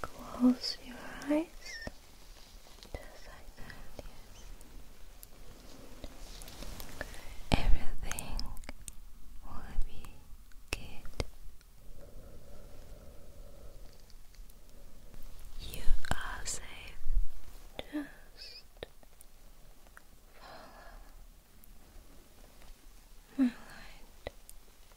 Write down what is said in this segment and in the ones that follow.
Close your eyes. Just like that, Everything will be good. You are safe. Just follow my light.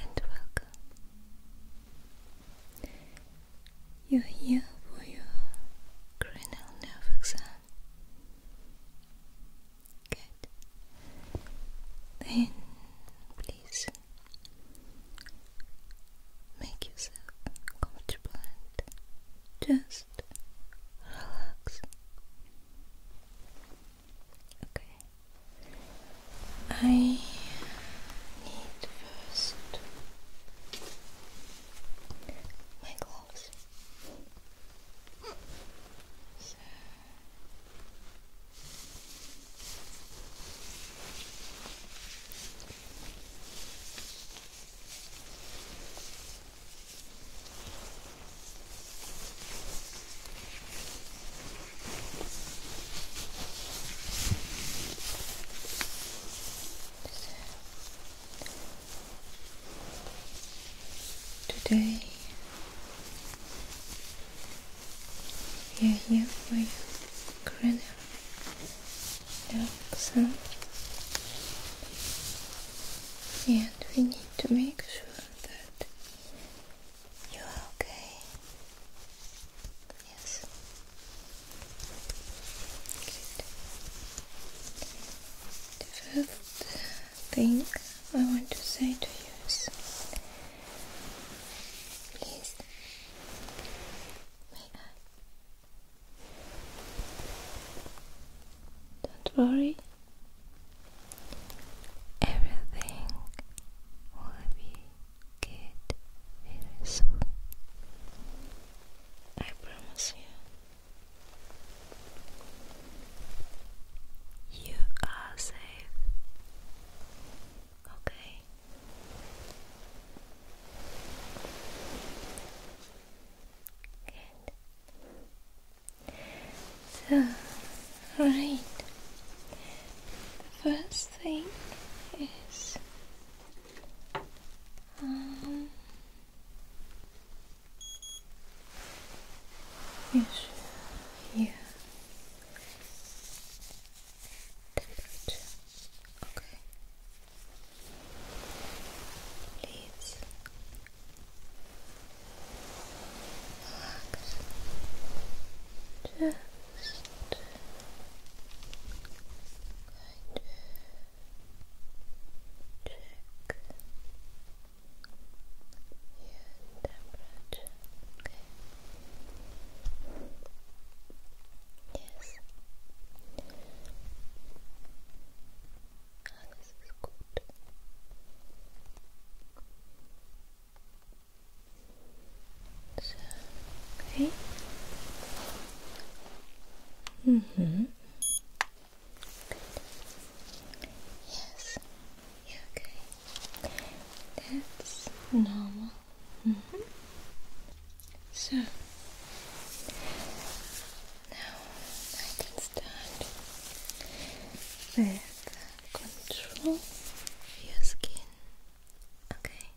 and welcome. You're here for your cranial nerve exam. Good. Then, please make yourself comfortable and just relax. Okay. I need first my gloves. Today we are here for your cranial exam and we need to make sure that you are okay? Yes. The first thing I want to say to you is please don't worry Everything will be good very I promise you. You are safe. Okay. Good. So, right. The first thing is um, yes, yeah. Temperature. Okay. Leaves. Relax. Just going to check your temperature. Okay. Yes. Alles ist gut. So, okay. Mm-hmm. Yes. okay. That's normal. Mm-hmm. So now I can start with control your skin. Okay.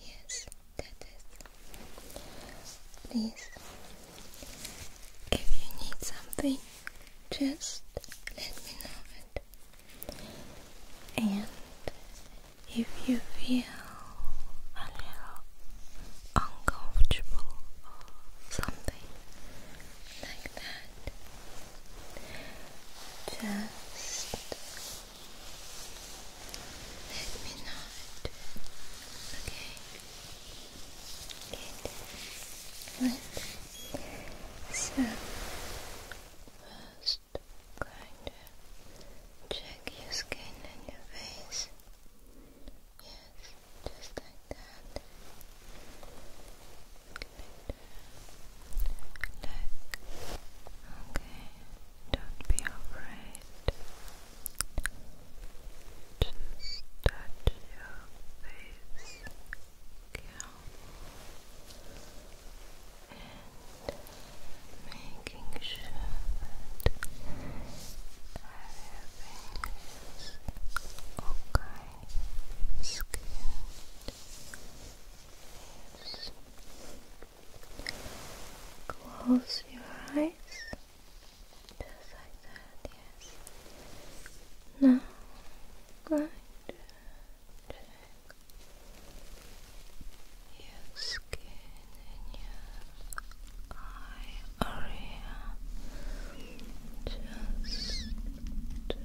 Yes, that is. Please, if you need something, just let me know it. And if you feel a little uncomfortable or something like that, just let me know it. Okay. So first kind of check your skin and your face. Yes, just like that. Good. Look. Okay. Don't be afraid. Just touch your face and making sure that everything is okay. Skin Close your eyes. Just like that, yes. Now, going to check your skin and your eye area. Just to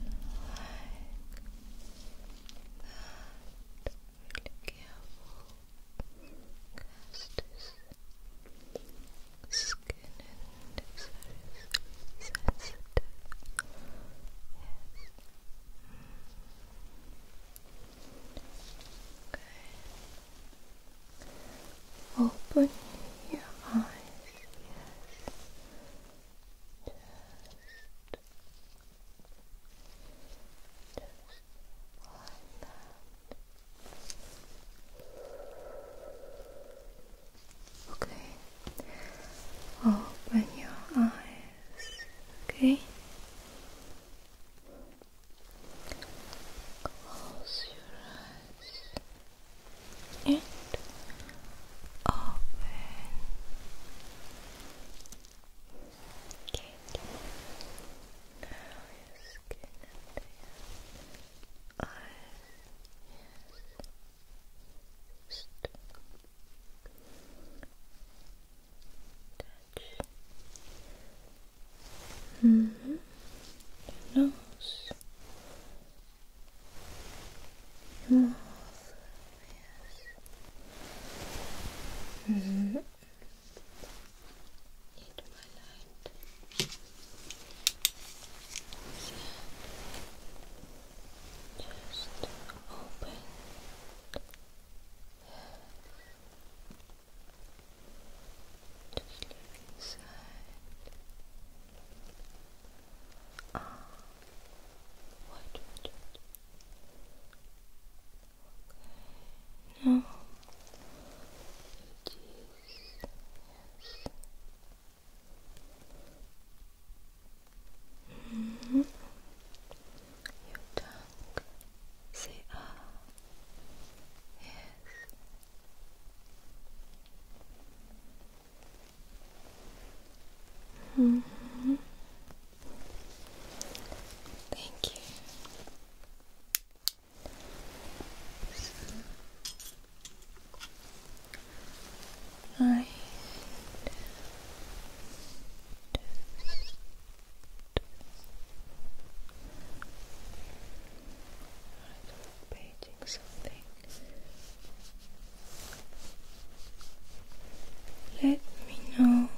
and really careful skin is very sensitive yes okay open your eyes yes that. Okay. Open your eyes. Okay. Close your eyes and open. Good. Now your skin under your eyes. touch. Your nose. More yes. Mm my light. Just open. Just look inside. Oh. Ah. What? Okay. No. It is. Yes. -hmm. Your tongue. Say ah. Yes. -hmm. Thank you. So, I just painting something. Let me know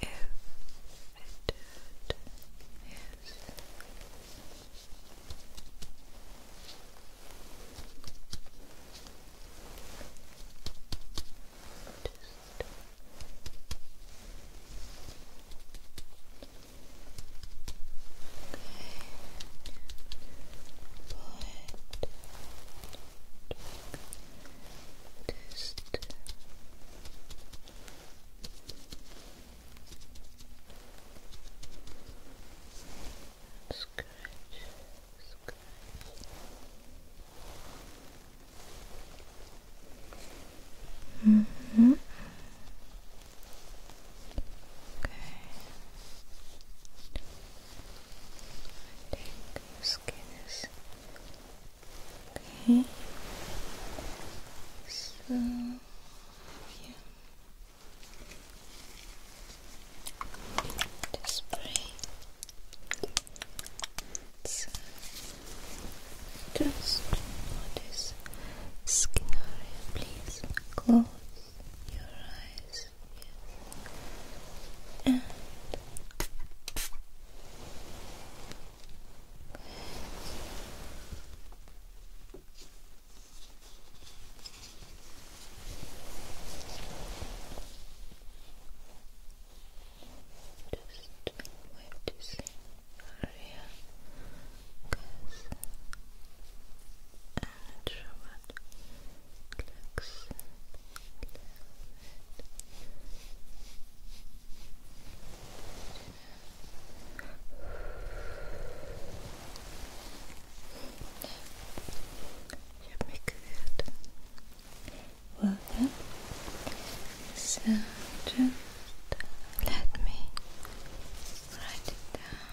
if it is just Good. scratch, scratch. I think your skin okay. So Just spray. So, just notice skin area, please. Close your eyes, Just wait to see and show it looks ich habe mich gehört. Well done. So just let me write it down.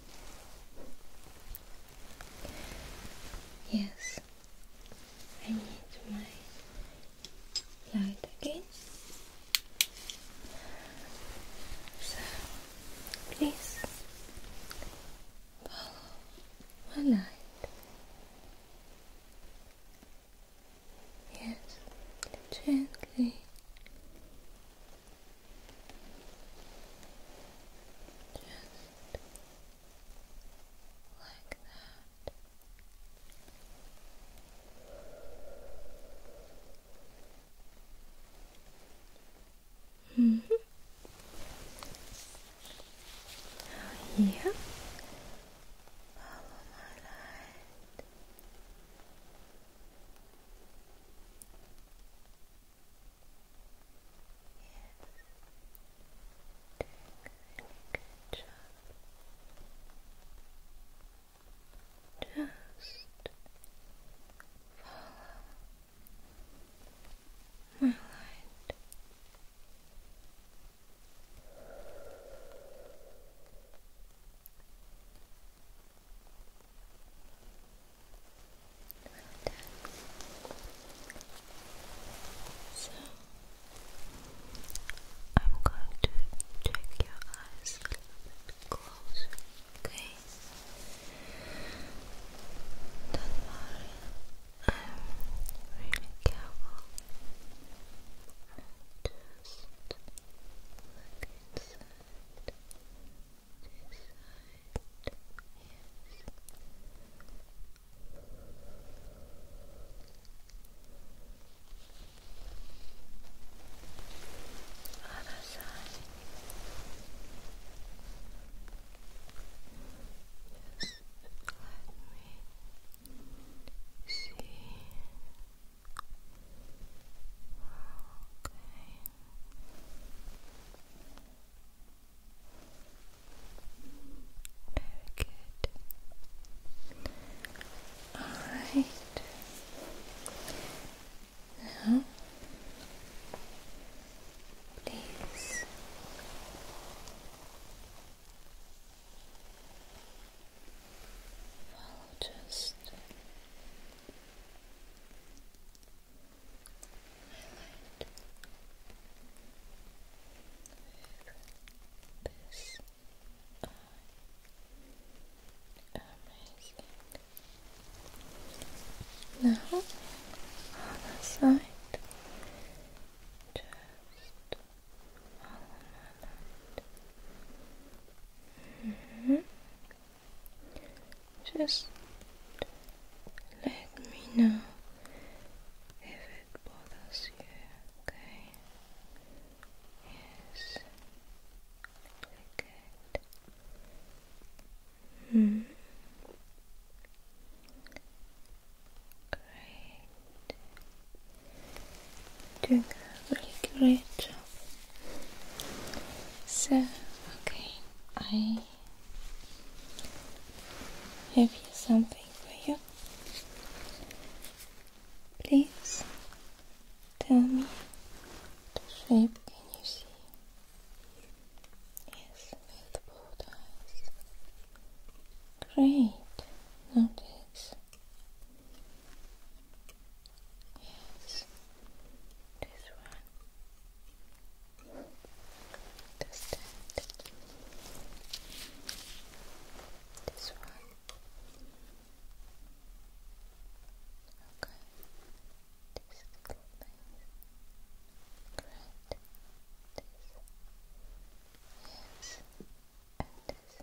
Yes, I need my light again. So please follow my light. Yes, gently. Just like that. -hmm. here, oh, good job. Just follow my light. So I'm going to check your eyes a okay? Don't I'm really careful. And just look inside. Other side. Just let me see. Okay. Very good. Alright. Now, please follow just I this eye. Amazing. Now, on the side, just all around. Mm -hmm. Just let me know if it bothers you, okay? Yes. Good. Hmm. Great. Doing really great So, okay, I have you something for you. Please tell me the shape can you see? Yes, with both eyes. Great. Notice. Yes. This one. Just that. This one. Okay. This little thing. Great. This. Yes. And this.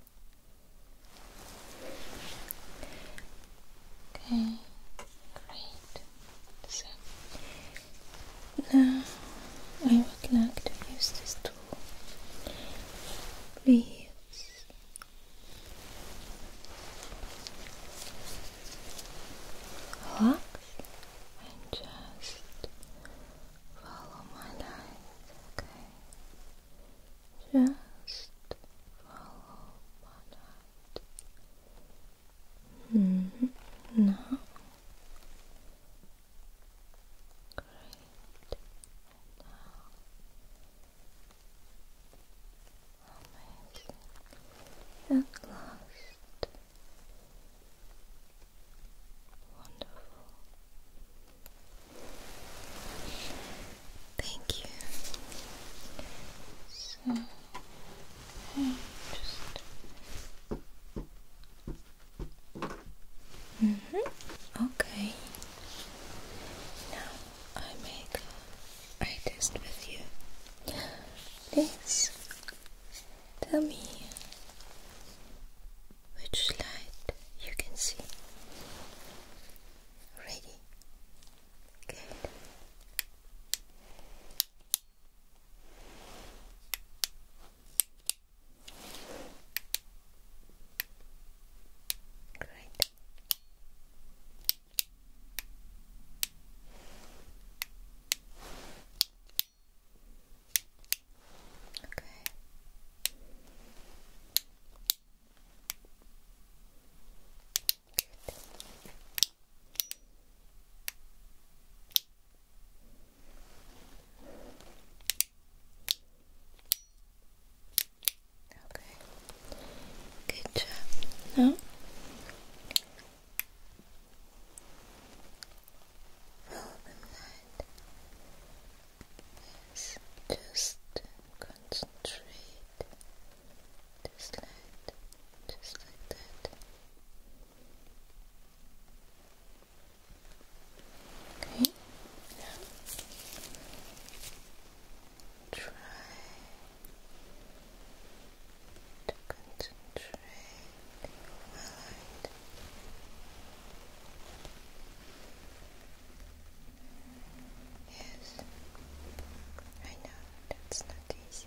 Okay, great now I would like to use this tool. Please. Relax and just follow my lines, okay? Just follow my lines. Mm -hmm. great. amazing. At last, wonderful. Thank you. So. Okay, just. Mm hmm Okay. Now I make a test with you. Please tell me which light you can see. Ready? Great. Okay. Good. Okay. Good job. Now follow the light. just concentrate. Just like, just like Okay, try to concentrate Yes, I know that's not easy.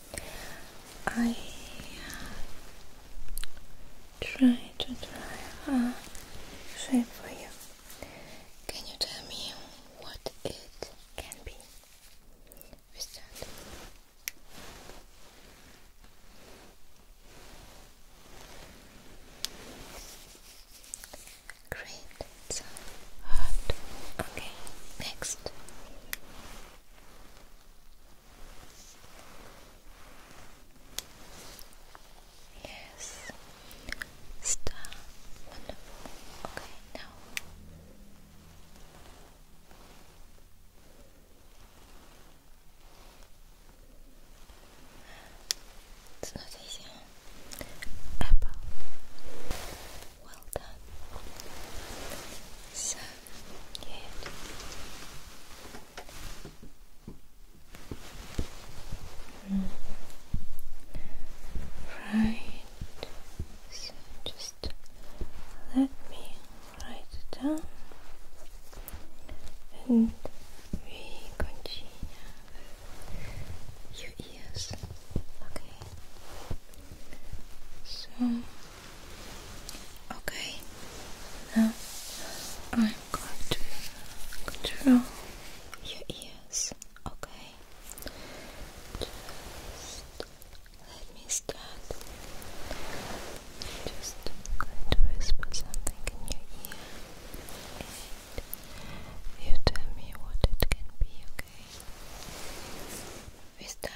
I uh, try to draw a shape for you. Can you tell me what it can be? We Great, Okay, next. Yes. Star. Okay, now. It's not Apple. Well done. So, good. Mm. Right. So just let me write down and we continue with Okay. So Okay, now I'm going to control your ears. Okay, let me start. Just going to whisper something in your ear, and you tell me what it can be. Okay, we start.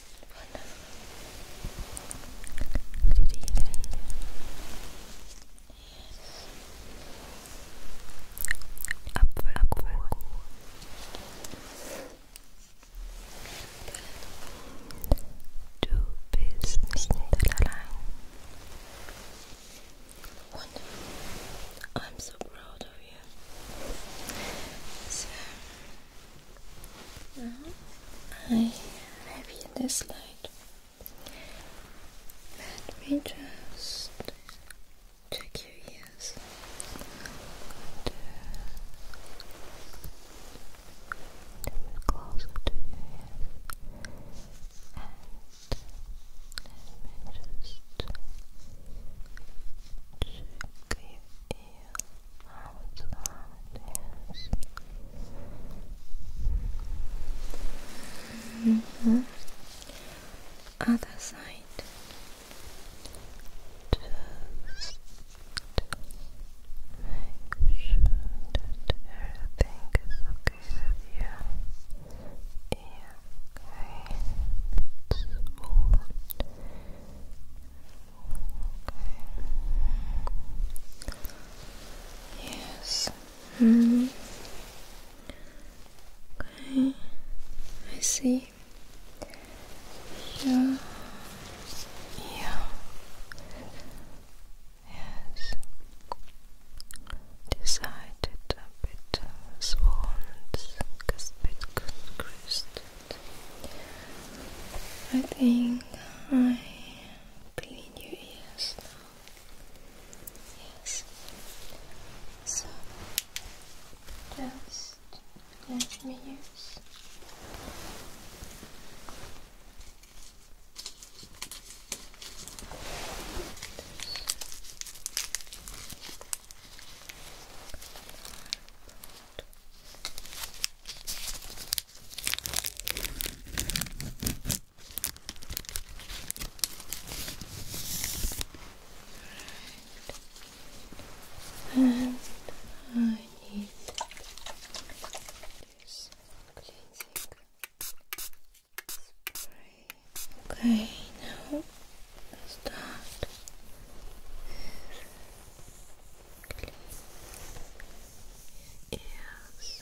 Wonderful. Yes. Apple, apple, apple. Du bist nicht I'm so proud of you. Uh-huh. I have this light. Let me just check your ears. Good. Move closer to your ears. And let me just check your ears how it's loud is. Other side. Just make sure everything is okay with you. okay. It's all Yes. Mm. Okay. I see. Yeah. Yeah. Yes. Decided a bit swans, because bit crusted. I think. I clean your ears Yes. So just let me use. This. And I need this cleansing spray. Okay, now start is just like that. Don't forget breathing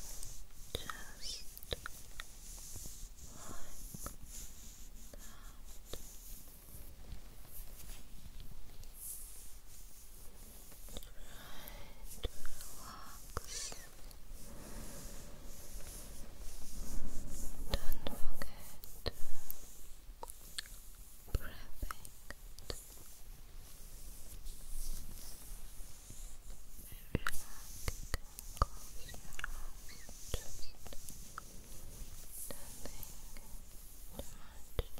just relax, close your eyes, just nothing too much that can just bother you. Nothing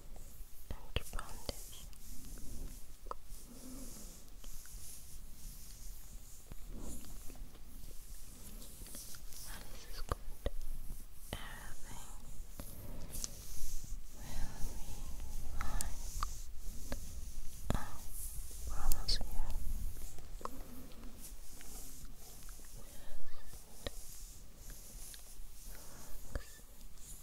and this is good. Everything will be promise you. Just relax. Try to remove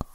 all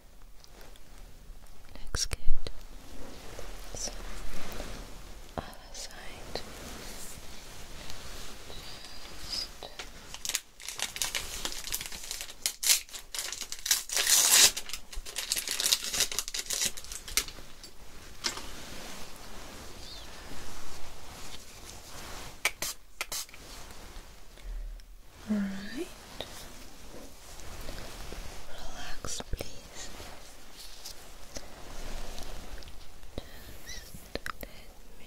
Looks good. So, other side. All right. Relax, please. Just let me.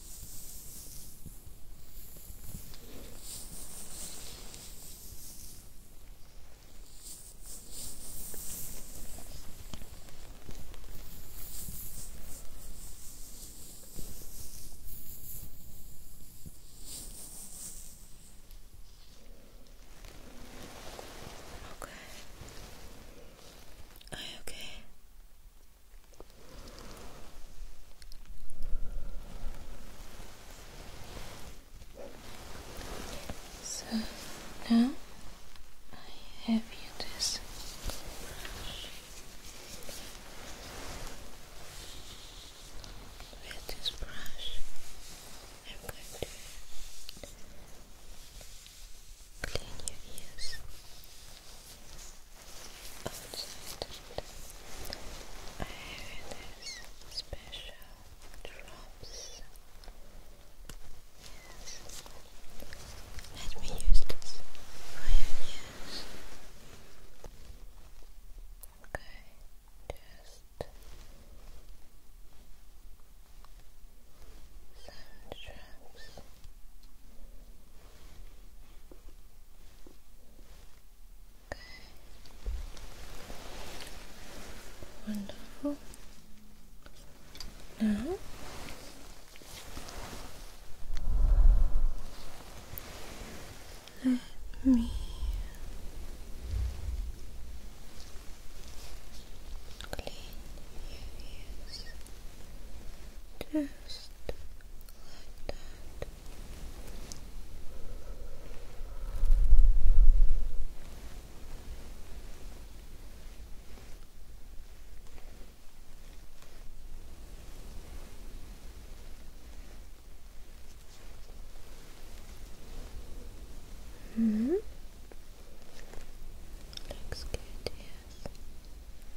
Okay. Are you okay? So now I have you this brush with this brush I'm going to clean your ears outside I hear this special drops yes let me use this for your okay, just some drops Okay. Wonderful. Now let me clean your ears just like that. Mm -hmm. Looks good, yes.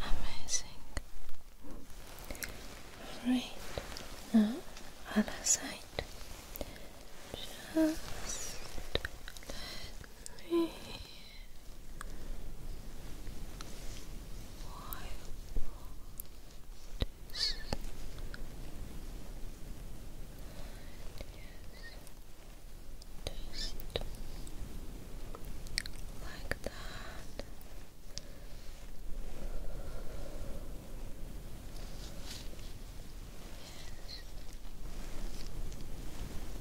amazing. Great. Now, other side. Just three, why this? Yes, just like that. Yes.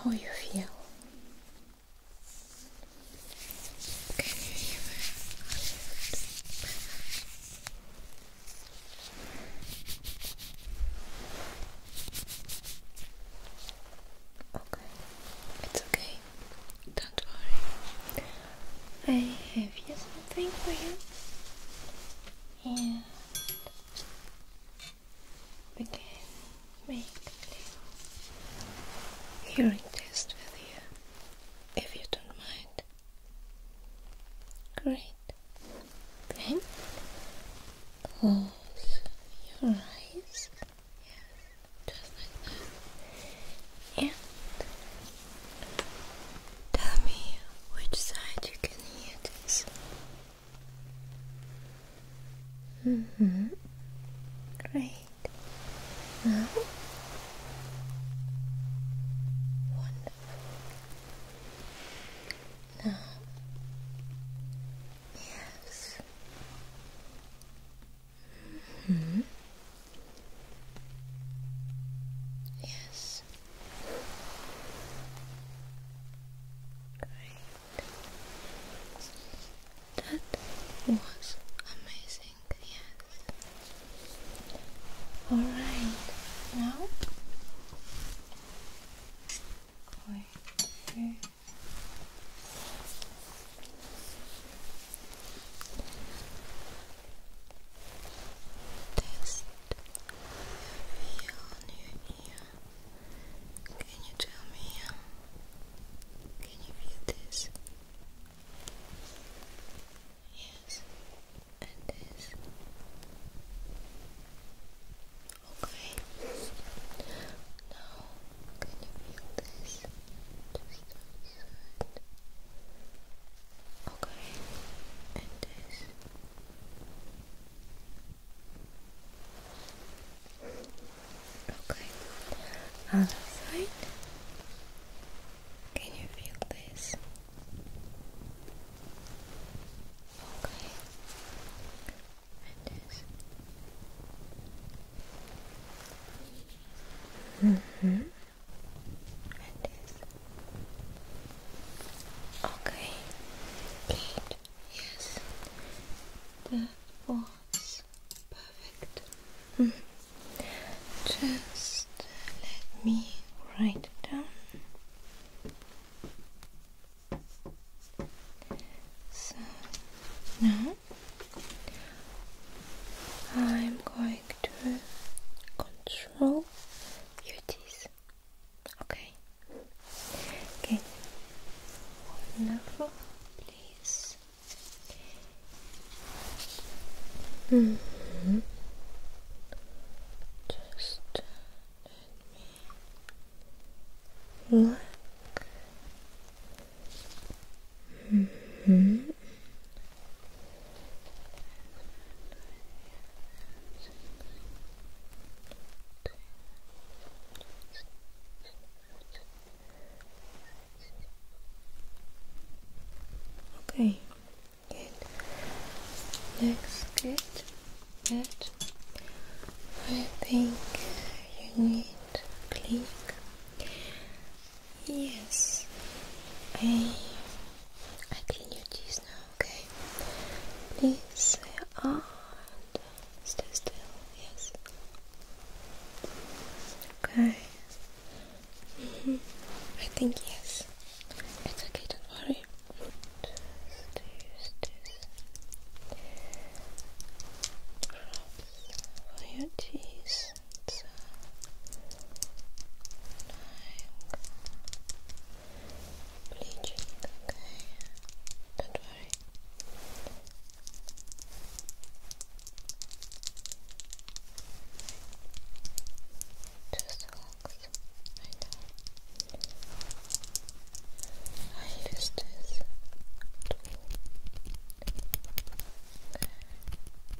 How you feel? Okay. okay, it's okay. Don't worry. I have something for you. And we can make a hearing test with you if you don't mind. Great. Then close your eyes. Yes, just And tell me which side you can hear this. Mm hmm. Great. Now. Wonderful. Now. Yes. Hmm. Yes. Great. That was amazing. Yes. All right. Now. Test feel on your Can you tell me? Um, can you feel this? Yes, and this. Okay. Now, can you feel this? Okay, and this. Okay, other side. Can you feel this? Okay, and this. Mm-hmm. Okay. Yes. That was perfect. Just let me write down. So now I'm going to control your teeth. Okay. Okay. Wonderful. Please. Mm -hmm. Just uh, let me look Mm -hmm. Okay, good. Looks good. Good. I think you need click Yes. I eh, I clean your teeth now, okay? Please and ah, stay still, yes. Okay. Mm -hmm. I think yes. It's okay, don't worry. Just use this. for your teeth it's uh, Don't worry. Just relax right now. I use this tool.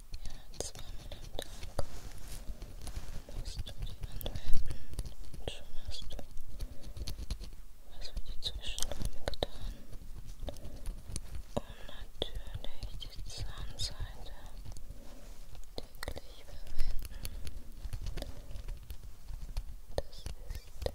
Ja, zweimal am Tag musst du die anwenden. Und schon hast du was für die Zwischenräume getan. Und natürlich die Zahnseite täglich verwenden. Das ist ganz, ganz wichtig.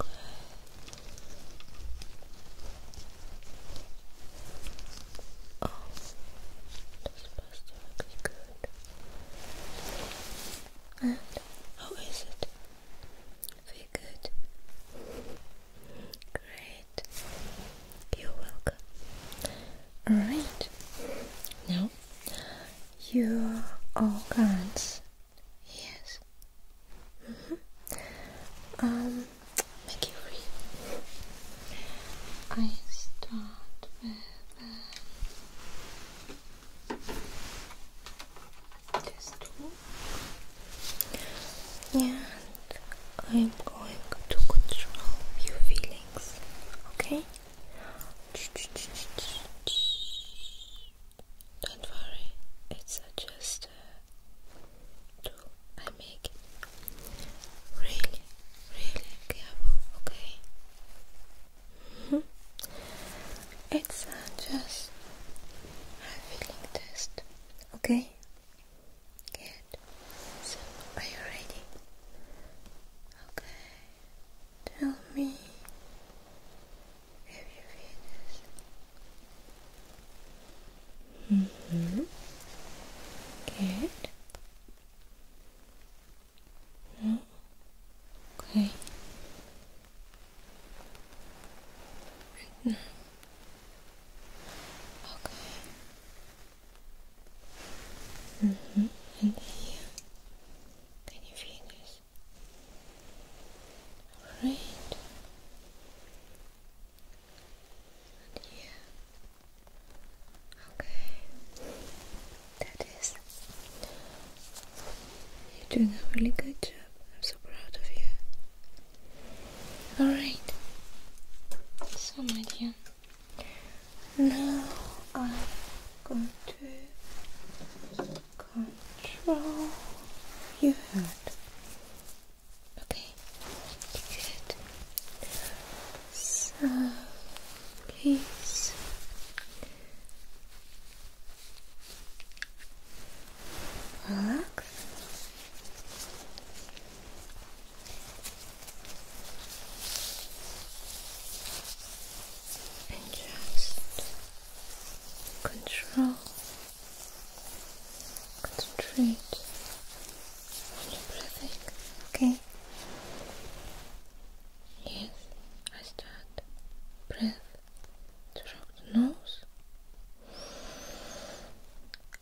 Okay. Oh, this pasta looks good. And how is it? Very good. Great. You're welcome. Alright. Now your organs. Yes. Mm -hmm. Um, make it real. I start with this tool, and I'm going to control your feelings. Okay. Don't worry, it's just uh, I make. Really, really careful, okay? it's just a feeling test, okay? Good. So, are you ready? Okay. Tell me if you feel this. Mm-hmm. mm Good. No? Okay. Right Okay. And here, can you finish? Right. And here. Okay. That is. You're doing a really good job. I'm so proud of you. Alright. So, my dear. Now I'm going to control your head. Okay, good. So please relax and just control, concentrate on okay? Yes, I start. Breath through the nose.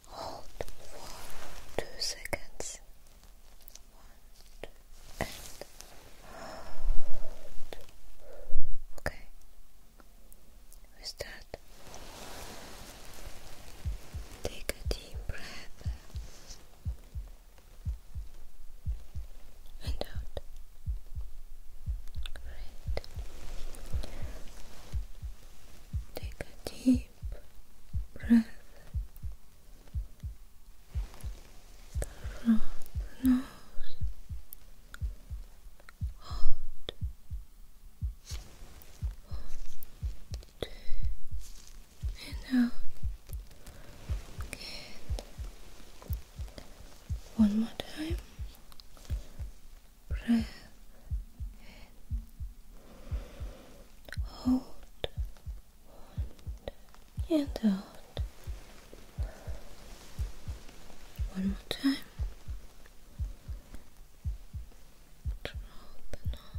Hold for two seconds and hold. Okay, we start. Take a deep breath and out. Great. Take a deep breath from the nose out one, more time breath hold and One more time. Control the nose.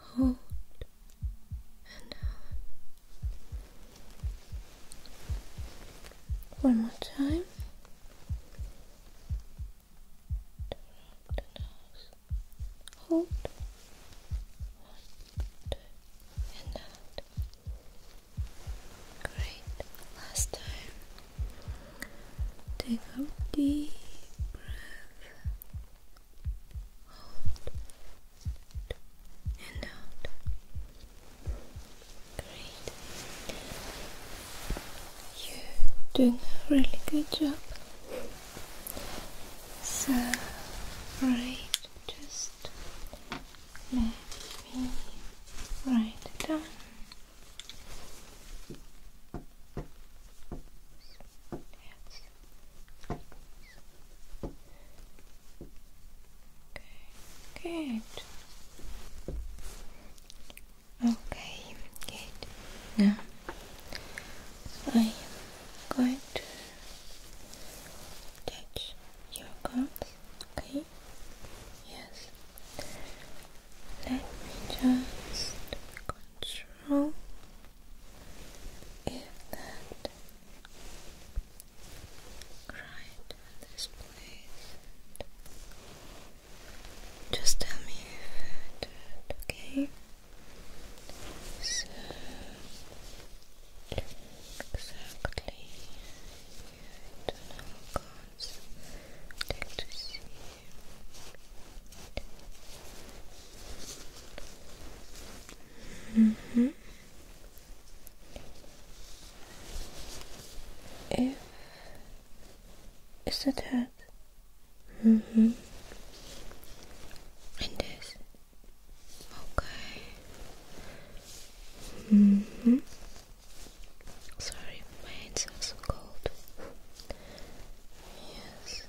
Hold and out. One more time. Hold one, two, and out. Great. Last time. Take a deep breath. Hold. And out. Great. You're doing a really good job. So, right, just let me write it down. Okay, good. Okay, good. Now I am going to touch your cards, okay? Yes. Let me just control if that right in this place. Just tell me if it, okay? So exactly internal cards like to see -hmm. if is that head? hmm And Okay. -hmm. Sorry, my hands cold. Yes.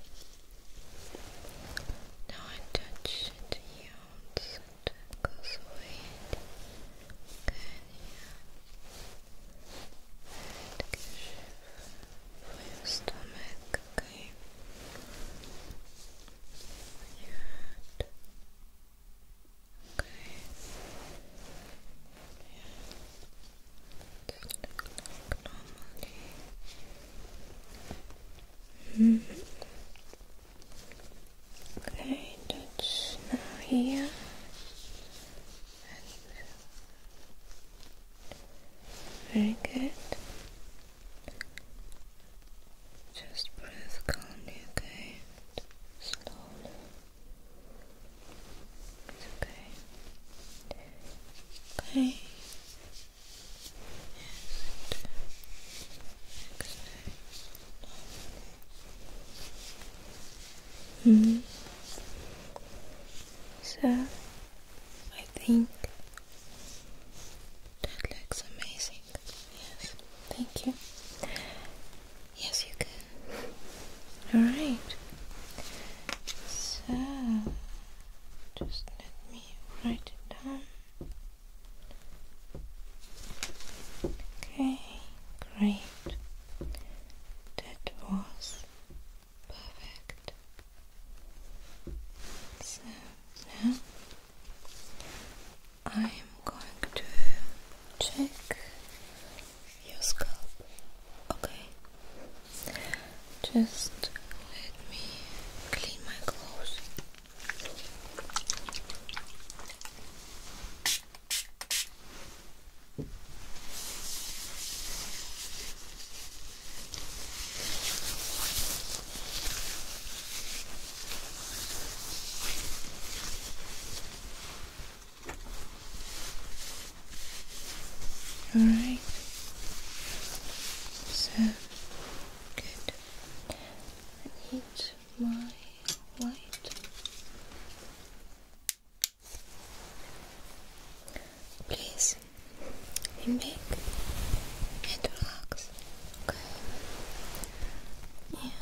Now I touch it here so it goes away. Good, yeah. And for your stomach on your Okay. Yeah. Just look -hmm. Okay, that's now here. very good. Just breathe calmly, okay? Slowly. It's okay. Okay. And exhale. hmm. So I think that looks amazing. Yes, thank you. Yes, you can. Alright. So, just let me write it down. Okay, great. That was perfect. So now I'm going to check your scalp. Okay. Just let me clean my clothes. All right. So I need my light. Please we make and relax, okay? And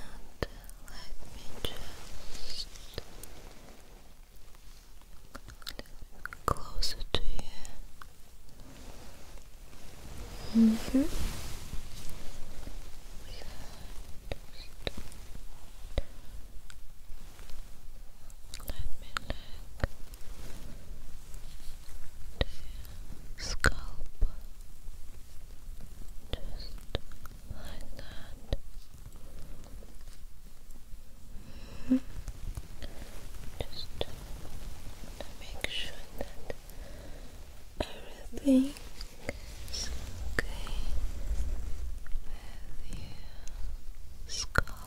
let me just closer to you. Mm hmm Let me look to scalp just like that just to make sure that everything is okay with your scalp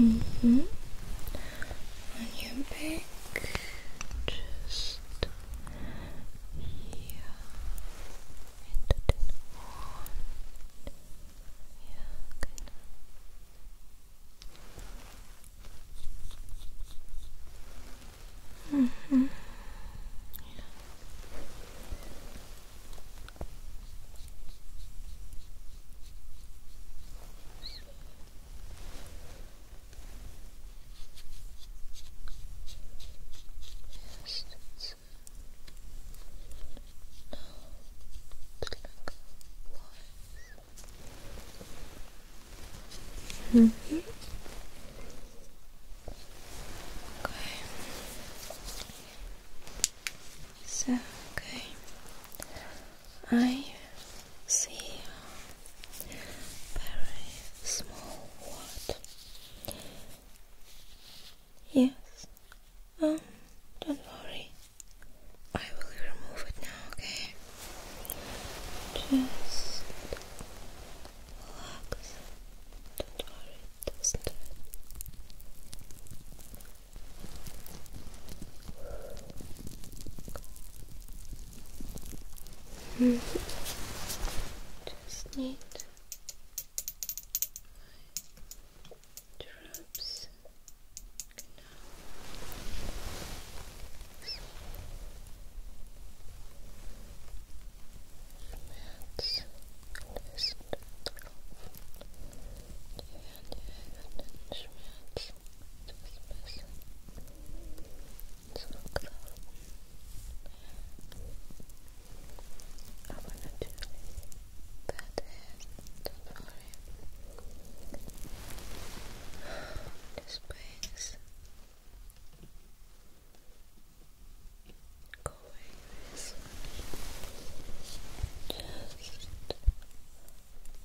Mm you On just here, and then on. Yeah, good. hmm Yes, it's uh, no Mm -hmm. Okay. So okay. I see a very small word. Yes. Um, don't worry. I will remove it now, okay? Just relax. Don't worry, doesn't hurt. Mm Just need drops. Let's list. Yeah, and then schmerz this, this, this. let I wanna do that hair, don't This pain going Just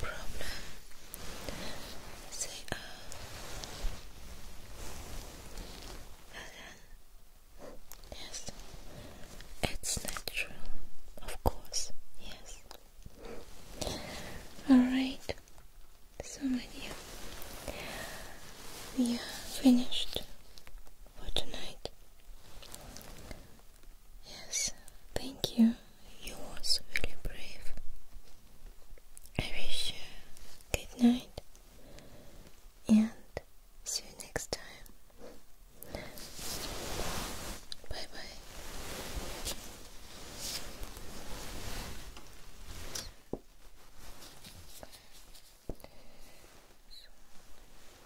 problem they are again yes it's natural of course yes alright so my dear we are finished for tonight yes thank you you was really brave. I wish you good night and see you next time. Bye bye.